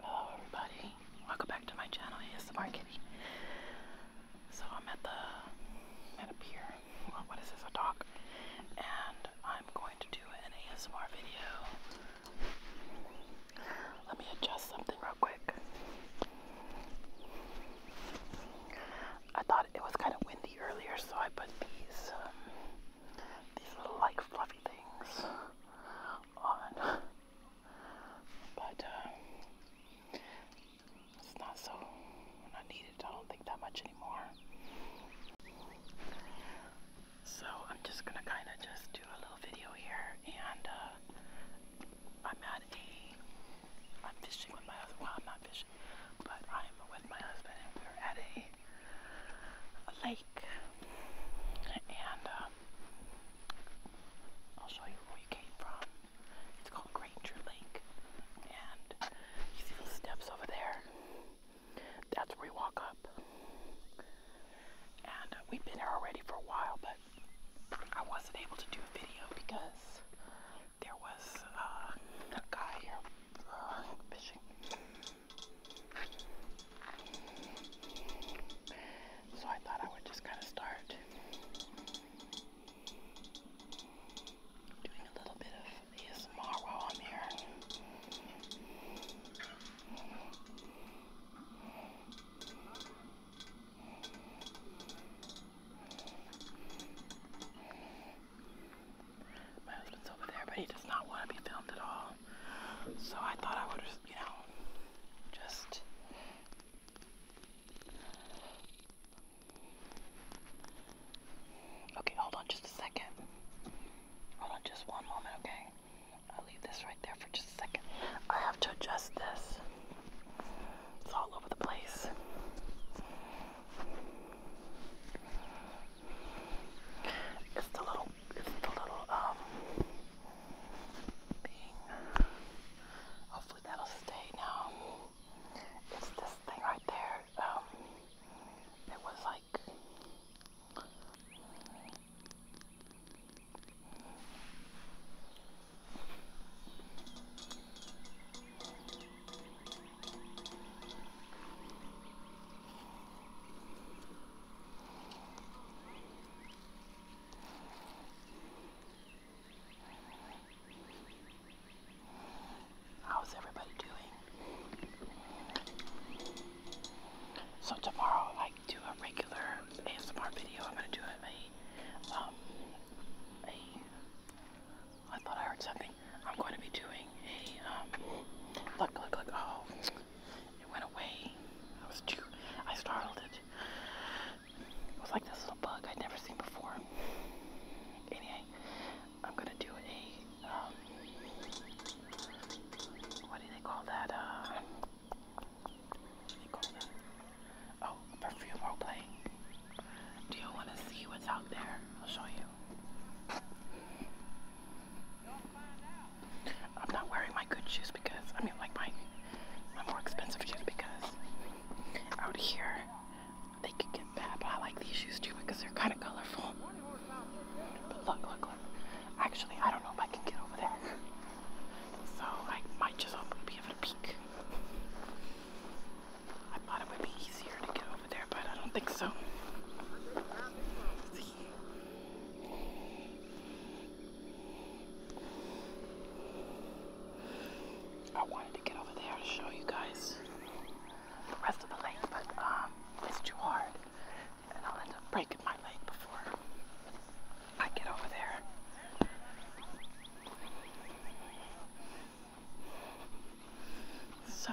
Hello everybody, welcome back to my channel, ASMR Kitty. So I'm at the, at a pier, what is this, a dock? And I'm going to do an ASMR video. Let me adjust something real quick. I thought it was kind of windy earlier, so I put these, um, these little like fluff things on. But um, it's not so, not needed, I don't think that much anymore. So I'm just gonna kinda just do a little video here and uh, I'm at a, I'm fishing with my husband, well I'm not fishing, but I'm with my husband and we're at a a lake, and uh, I'll show you where we came from. It's called Granger Lake, and you see those steps over there? That's where we walk up. And we've been here already for a while, but I wasn't able to do a video because there was uh, a guy here uh, fishing. So I thought I would just kind of start doing a little bit of ASMR while I'm here. My husband's over there, but he does not want to be filmed at all. So I thought I would, you know, just okay. Hold on, just a second. Hold on, just one moment, okay? I'll leave this right there for just a second. I have to adjust this. It's all over the place. It's the little, it's the little, um, thing. Hopefully that'll stay now. It's this thing right there. Um, it was like, How's everybody doing? So tomorrow I do a regular ASMR video. I'm gonna do a, um, a, I thought I heard something. I'm going to be doing a, um, look, look, look, oh. It went away. I was too, I startled it. It was like this little bug I'd never seen before. Anyway, I'm gonna do a, um, uh, what do they call that, Oh, perfume role Do you wanna see what's out there? I'll show you. I'm not wearing my good shoes because I mean like my my more expensive shoes because out here they could get bad but I like these shoes too because they're kind of colorful but look look look actually I don't know if I can get over there so I might just be able to peek I thought it would be easier to get over there but I don't think so I wanted to get over there to show you guys the rest of the lake, but um, it's too hard. And I'll end up breaking my leg before I get over there. So,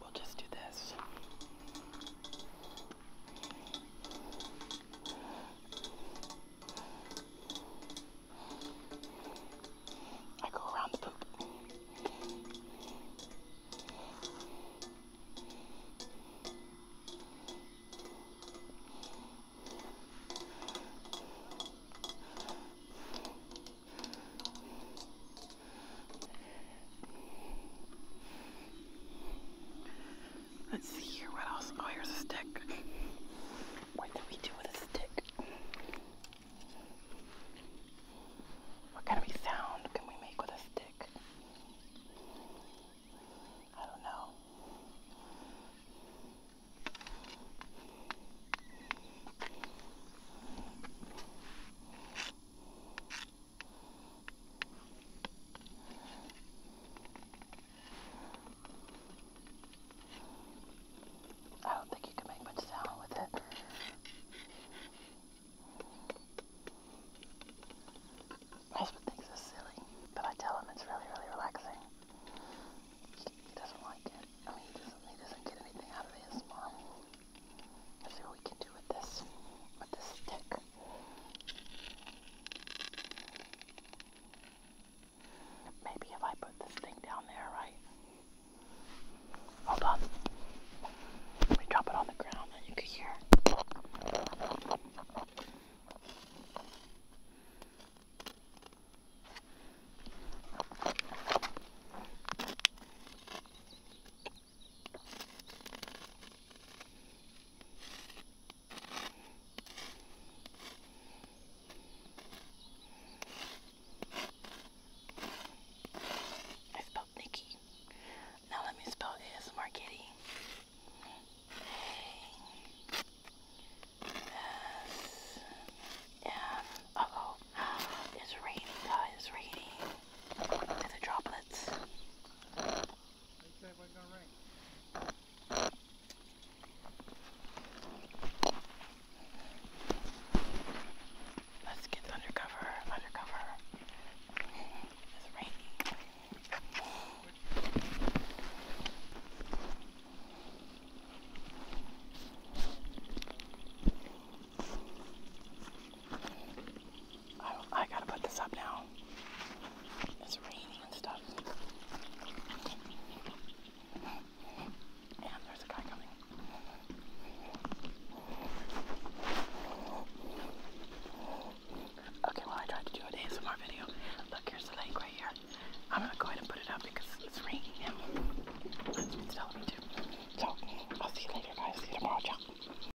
we'll just do this. I go around the poop. Let's see here, what else? Oh, here's a stick. What do we do with a stick? What kind of sound can we make with a stick? I don't know. I don't think you can make much sound with it. Husband thinks it's silly, but I tell him it's really, really relaxing. He, doesn't like it. I mean, he doesn't, get anything out of ASMR. Let's see what we can do with this, with this stick. Maybe if I put this thing down there, right? Hold on. Let me drop it on the ground and you can hear. I spelled Nikki. Now let me spell ASMR Kitty. A S M. It's raining, It's raining. they the droplets. They said it wasn't gonna rain. Let's get undercover, undercover. It's raining. I, gotta put this up now. It's raining and stuff. And there's a guy coming. Okay, well I tried to do an ASMR video. Look, here's the lake right here. I'm gonna go ahead and put it up because it's raining and it's telling me to. So, I'll see you later guys. See you tomorrow. Ciao.